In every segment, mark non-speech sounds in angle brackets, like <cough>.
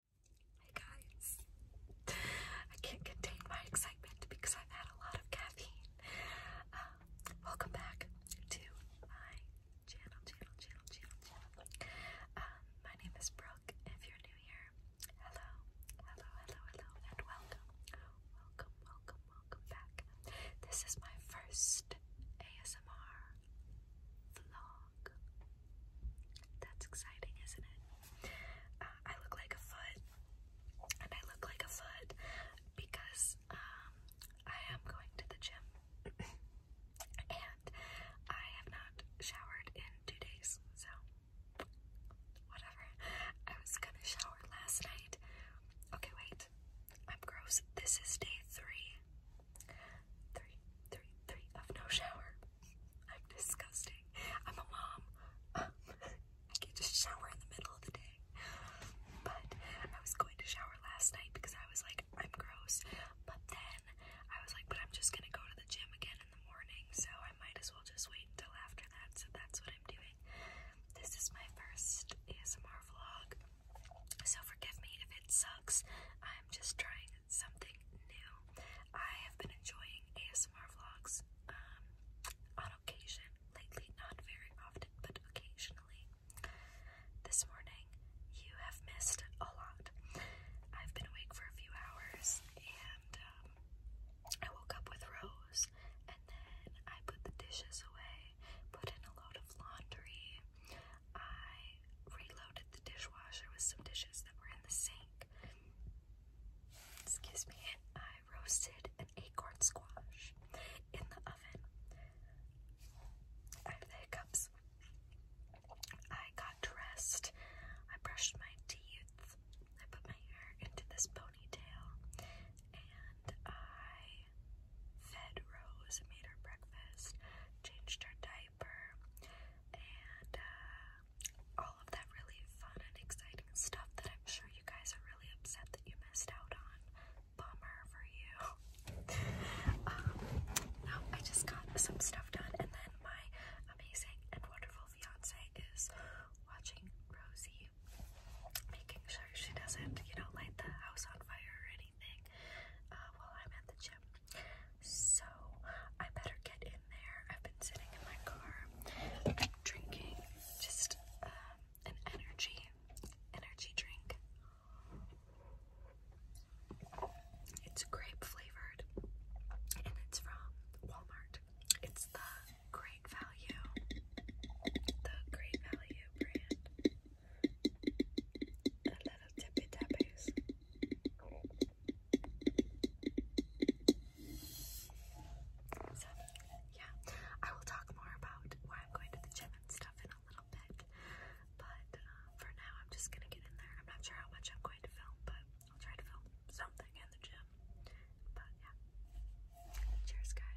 Hey guys, I can't contain my excitement because I've had a lot of caffeine. Um, welcome back to my channel, channel, channel, channel, channel. Um, my name is Brooke. If you're new here, hello, hello, hello, hello, and welcome, welcome, welcome, welcome back. This is my first ASMR vlog. That's exciting, isn't it? Uh, I look like a foot, and I look like a foot because um, I am going to the gym, and I have not showered in two days, so whatever. I was gonna shower last night. Okay, wait. I'm gross. This is day three. Three, of no shower. I'm disgusting. I'm a mom. I can't just shower in the middle of the day. But I was going to shower last night because I was like, I'm gross. But then I was like, but I'm just gonna go to the gym again in the morning, so I might as well just wait until after that. So that's what I'm doing. This is my first ASMR vlog. So forgive me if it sucks. I'm just trying something new. I have been enjoying ASMR vlogs um, on occasion lately, not very often, but occasionally. This morning, you have missed a lot. I've been awake for a few hours and um, I woke up with Rose and then I put the dishes away, put in a load of laundry. I reloaded the dishwasher with some dishes that were in the sink. Excuse me. I roasted an acorn squash in the oven. I have hiccups. I got dressed. I brushed my teeth. I put my hair into this ponytail. And I fed Rose made her breakfast, changed her diaper and uh, all of that really fun and exciting stuff that I'm sure you guys are really upset that you missed out on. Bummer for you. <laughs> Um, no, I just got some stuff done, and then my amazing and wonderful fiance is watching Rosie, making sure she doesn't, you know, light the house on fire or anything uh, while I'm at the gym. So I better get in there. I've been sitting in my car drinking just uh, an energy energy drink. It's grape flavored and it's from Walmart. It's the Great Value. The Great Value brand yeah, I will talk more about why I'm going to the gym and stuff in a little bit. But uh, for now, I'm just gonna get in there. I'm not sure how much I'm going to film, but I'll try to film something in the gym. But yeah, cheers, guys.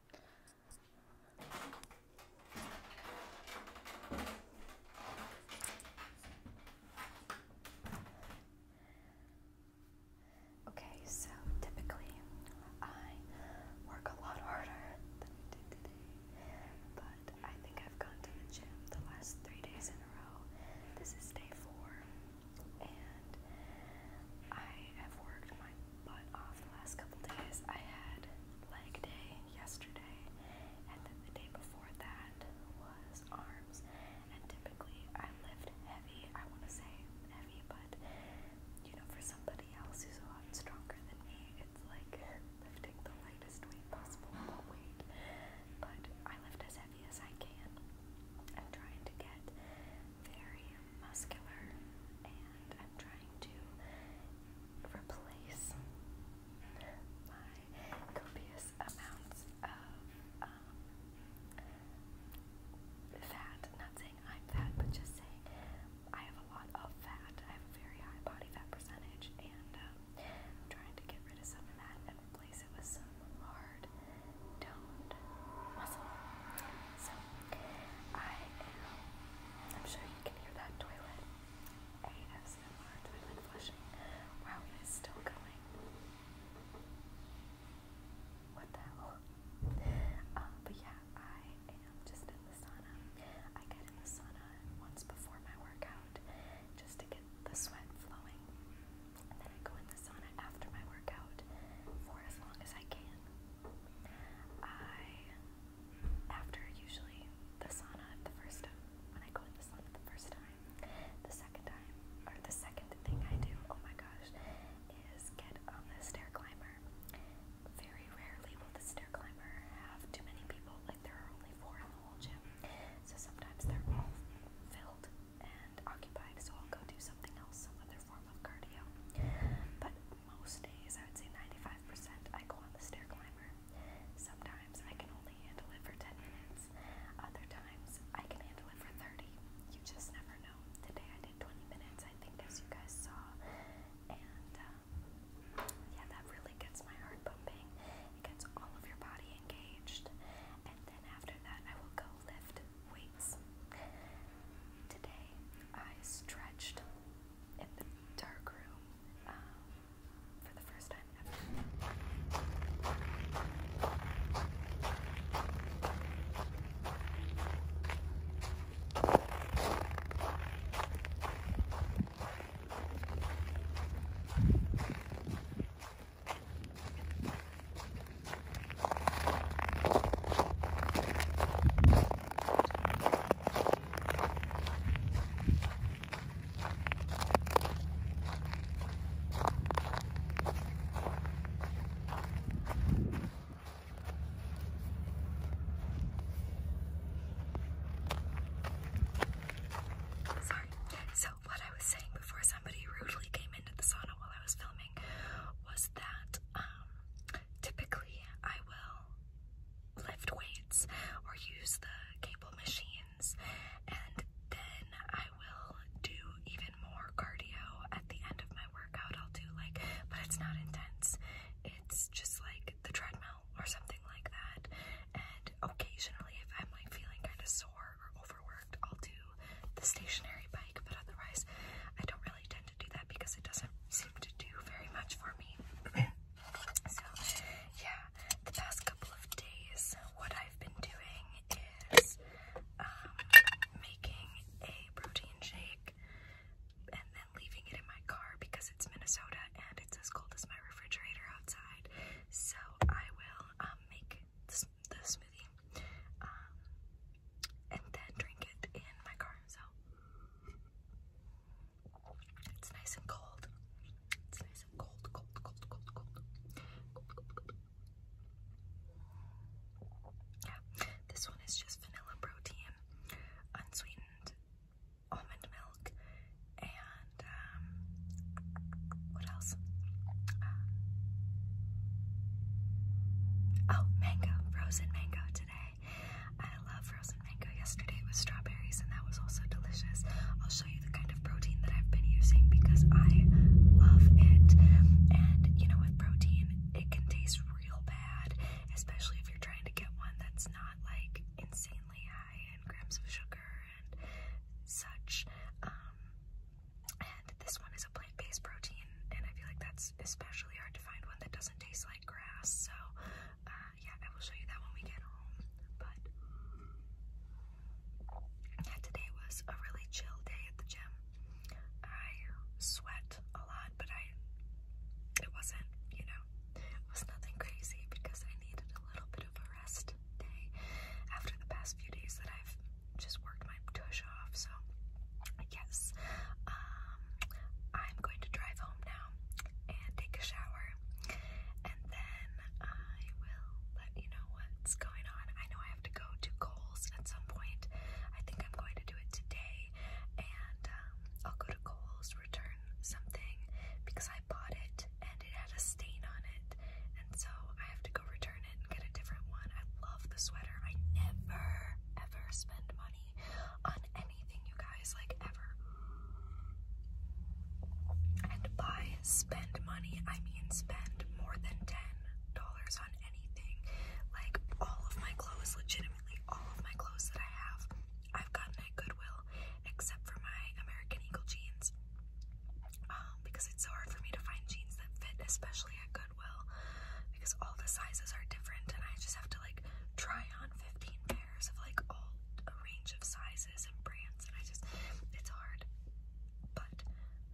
Okay, so typically I work a lot harder than I did today, but I think I've gone to the gym the last three days in a row. This is day four, and I have worked my but uh, off the last couple days, I had leg day yesterday, and then the day before that was arms. And typically, I lift heavy. I want to say heavy, but you know, for somebody else who's a lot stronger than me, it's like lifting the lightest weight possible, but weight. But I lift as heavy as I can. I'm trying to get very muscular, and I'm trying to replace my copious amounts of um, fat. Not saying I'm fat, but just saying I have a lot of fat. I have a very high body fat percentage, and um, I'm trying to get rid of some of that and replace it with some hard toned muscle. So I am I'm sure you can hear that toilet. ASMR toilet flushing. Wow, it is still going. What the hell? Uh, but yeah, I am just in the sauna. I get in the sauna once before my workout just to get the sweat flowing. then I go in the sauna after my workout for as long as I can. I after usually the sauna the first time when I go in the sauna the first time, the second time or the second thing I do, oh my gosh, is get on the stair climber. Very rarely will the stair climber have too many people, like there are only four in the whole gym. So sometimes they're all filled and occupied, so I'll go do something else, some other form of cardio. But most days, I would say 95%, I go on the stair climber. Sometimes I can only handle it for 10 minutes. Other times I can handle it for 30. You just never know. Today I did 20 minutes, I think, as you guys saw. And um, yeah, that really gets my heart pumping. It gets all of your body engaged. And then after that, I will go lift weights. Today I stretched in the dark room um, for the first time ever. Sorry. So what I was saying before somebody rudely came into the sauna while I was filming was that um, typically I will lift weights or use the cable machines and then I will do even more cardio at the end of my workout. I'll do like, but it's not intense. It's just like the treadmill or something like that. And occasionally, if I'm like feeling kind of sore or overworked, I'll do the stationary bike, but otherwise, I don't tend to do that because it doesn't seem to do very much for me. <clears throat> so, yeah, the past couple of days, what I've been doing is um, making a protein shake and then leaving it in my car because it's Minnesota and it's as cold as my refrigerator outside. So, I will um, make the, the smoothie um, and then drink it in my car. So it's nice and cold. It's nice and cold, cold, cold, cold, cold. cold, Yeah, this one is just vanilla protein, unsweetened almond milk, and um, what else? Uh, oh, mango, frozen I love frozen mango. Yesterday it was strawberries, and that was also delicious. I'll show you the kind of protein that I've been using because I love it. And you know, with protein, it can taste real bad, especially if you're trying to get one that's not like insanely high in grams of sugar and such. Um, and this one is a plant-based protein, and I feel like that's especially hard to find one that doesn't taste like grass. So, uh, yeah, I will show you that when we get home. But yeah, today was a really chill day at the gym. I sweat a lot, but I it wasn't, you know, it was nothing crazy because I needed a little bit of a rest day after the past few days that I've just worked my tush off. So, yes, um, I'm going to drive home now and take a shower, and then I will let you know what's going on. I know I have to go to Kohl's at some point. I think I'm going to do it today, and um, I'll go to Kohl's return something because I bought it and it had a stain on it, and so I have to go return get a different one. I love the sweater. I never ever spend money on anything, you guys, like ever. And by spend money, I mean spend more than ten dollars on anything. Like all of my clothes, legitimately all of my clothes that I have, I've gotten at Goodwill, except for my American Eagle jeans. Um, because it's so hard for me to find jeans that fit, especially at Goodwill. Goodwill because all the sizes are different and I just have to like try on 15 pairs of like all a range of sizes and brands and I just it's hard. But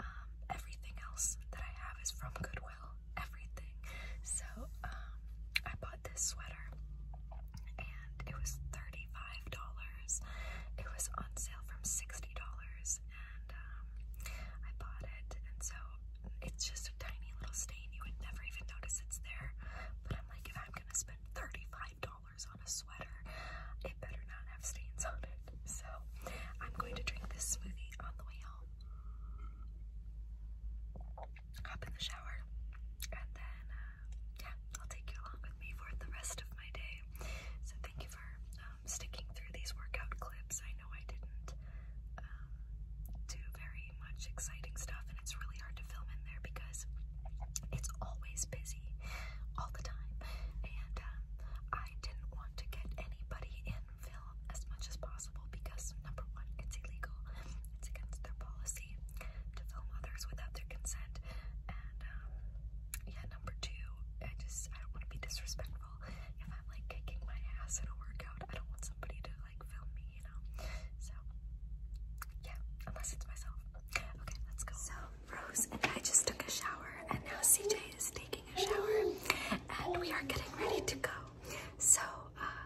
um everything else that I have is from Goodwill. Everything. So um I bought this sweater and it was $35. It was on sale from $60 and um, I bought it, and so it's just a tiny little stain. You would never even notice it's there. But I'm like, if I'm gonna spend $35 on a sweater, it better not have stains on it. So I'm going to drink this smoothie on the way home, hop in the shower, and then uh, yeah, I'll take you along with me for the rest of my day. So thank you for. Uh, um, sticking through these workout clips. I know I didn't um, do very much exciting stuff, and it's really hard to film in there because it's always busy all the time. And um, I didn't want to get anybody in film as much as possible because, number one, it's illegal, it's against their policy to film others without their consent. And um, yeah, number two, I just I don't want to be disrespectful if I'm like kicking my ass at a workout, I don't want somebody to like film me, you know? So, yeah, unless it's myself. Okay, let's go. So, Rose and I just took a shower, and now CJ is taking a shower, and we are getting ready to go. So, uh,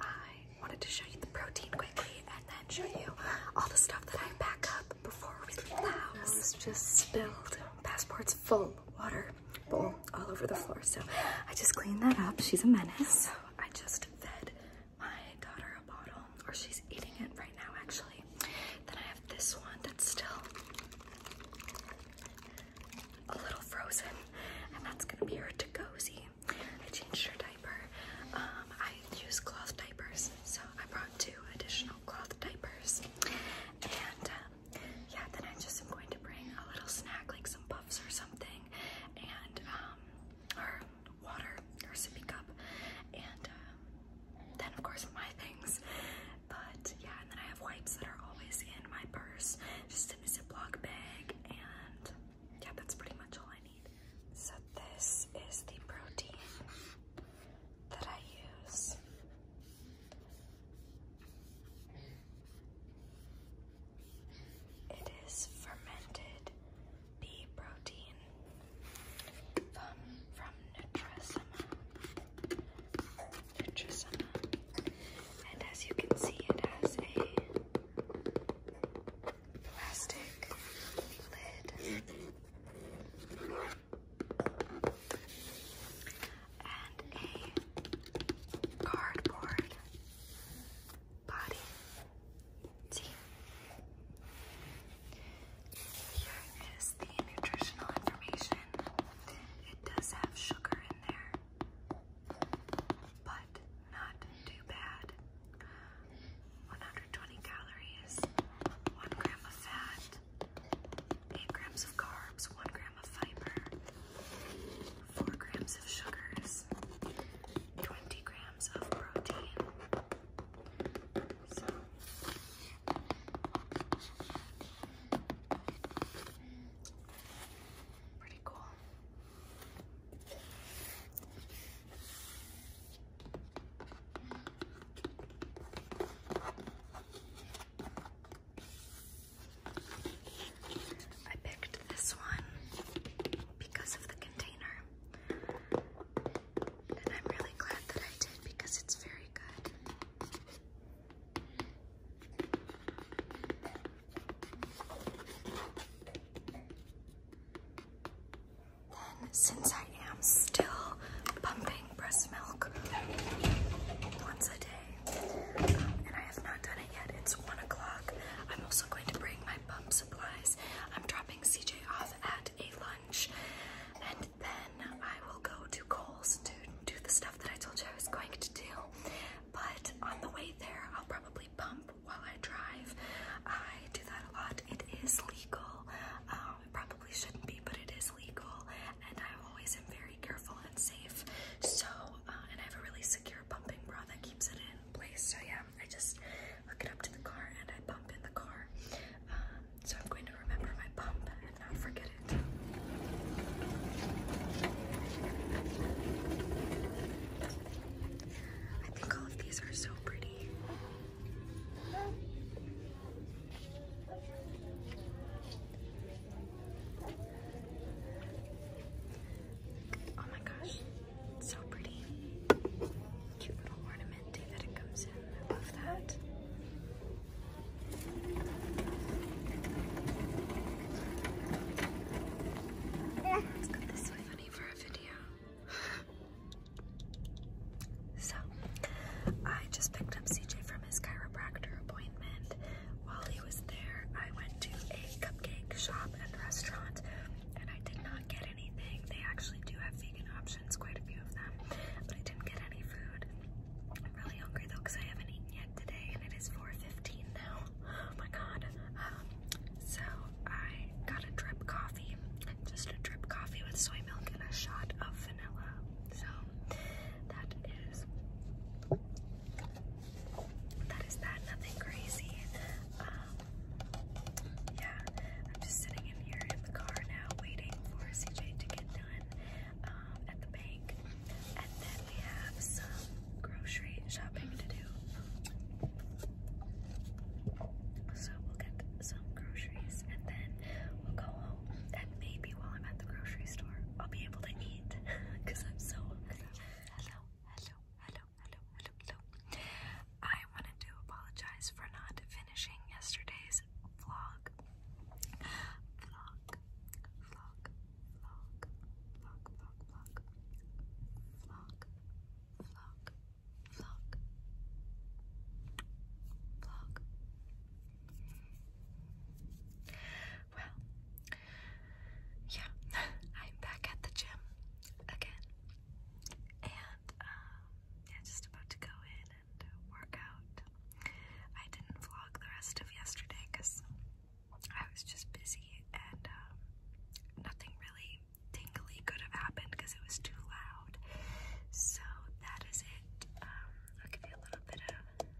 I wanted to show you the protein quickly and then show you all the stuff that I pack up before we leave the house. Just spilled passport's full water bowl all over the floor. So I just cleaned that up. She's a menace. so I just fed my daughter a bottle, or she's eating it right now, actually. Then I have this one that's still a little frozen, and that's gonna be her to Tagozy. I changed her diaper. Um, I use cloth diapers, so I brought two additional cloth diapers. And um, yeah, then I just am going to bring a little snack, like some puffs or something, and um, or water or sippy cup, and um, then of course my things. But yeah, and then I have wipes that are always in my purse, just in a Ziploc bag, and yeah, that's pretty much all I need. So this is the protein that I use. It is fermented bee protein from, from Nutrisema. Nutrisema. And as you can see, it has a plastic lid and a cardboard body. Tea. Here is the nutritional information. It does have sugar in there, but not too bad. 120 calories, 1 gram of fat, 8 grams of carbs, 1 gram of fiber, 4 grams of sugars, 20 grams of protein. pretty cool. I picked this one because of the container. And I'm really glad that I did because it's very good. Then, since I am still pumping breast milk once a day, um, and I have not done it yet, it's one o'clock. I'm also going to bring my pump supplies. I'm dropping CJ off at a lunch, and then I will go to Cole's to do the stuff that I told you I was going to do. But on the way there, I'll probably pump while I drive. I do that a lot. It is legal. Um, probably shouldn't be, but it is legal, and I always am very careful and safe. So, uh, and I have a really secure pumping bra that keeps it in place. So yeah, I just hook it up to the car and I pump in the car. Um, so I'm going to remember my pump and not forget it. I think all of these are so pretty. Oh my gosh, so pretty. Cute little ornament that it comes in. I love that. Let's go this way, honey, for a video. So, I just picked up CJ from his chiropractor appointment. While he was there, I went to a cupcake shop and restaurant, and I did not get anything. They actually do have vegan options, quite a few of them, but I didn't get any food. I'm really hungry though because I haven't eaten yet today, and it is 4:15 now. Oh my god! Um, so I got a drip coffee just a drip coffee with soy milk and a shot of vanilla. So that is that. Nothing crazy. Um, yeah, I'm just sitting in here in the car now, waiting for CJ to get done um, at the bank, and then we have some grocery shopping to do. So we'll get groceries and then we'll go home and maybe while I'm at the grocery store I'll be able to eat because <laughs> I'm so hungry. hello, hello, hello, hello, hello. I wanted to apologize for not finishing yesterday's vlog. Vlog, vlog, vlog, vlog, vlog, vlog, vlog, vlog vlog, vlog. Well, yeah, <laughs> I'm back at the gym again, and um, yeah, just about to go in and work out. I didn't vlog the rest of yesterday because I was just busy and um, nothing really tingly could have happened because it was too loud. So that is it. Um, I'll give you a little bit of tapping.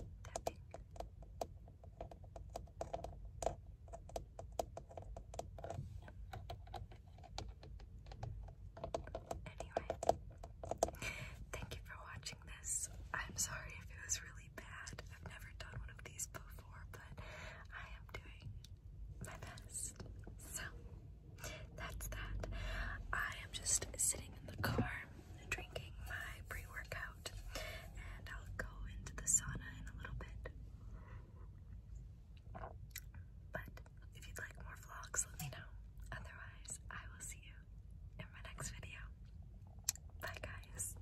Anyway, thank you for watching this. I'm sorry if it was really bad. I've never done one of these before, but I am doing my best. So that's that. I am just sitting in the car drinking my pre workout, and I'll go into the sauna in a little bit. But if you'd like more vlogs, let me know. Otherwise, I will see you in my next video. Bye, guys.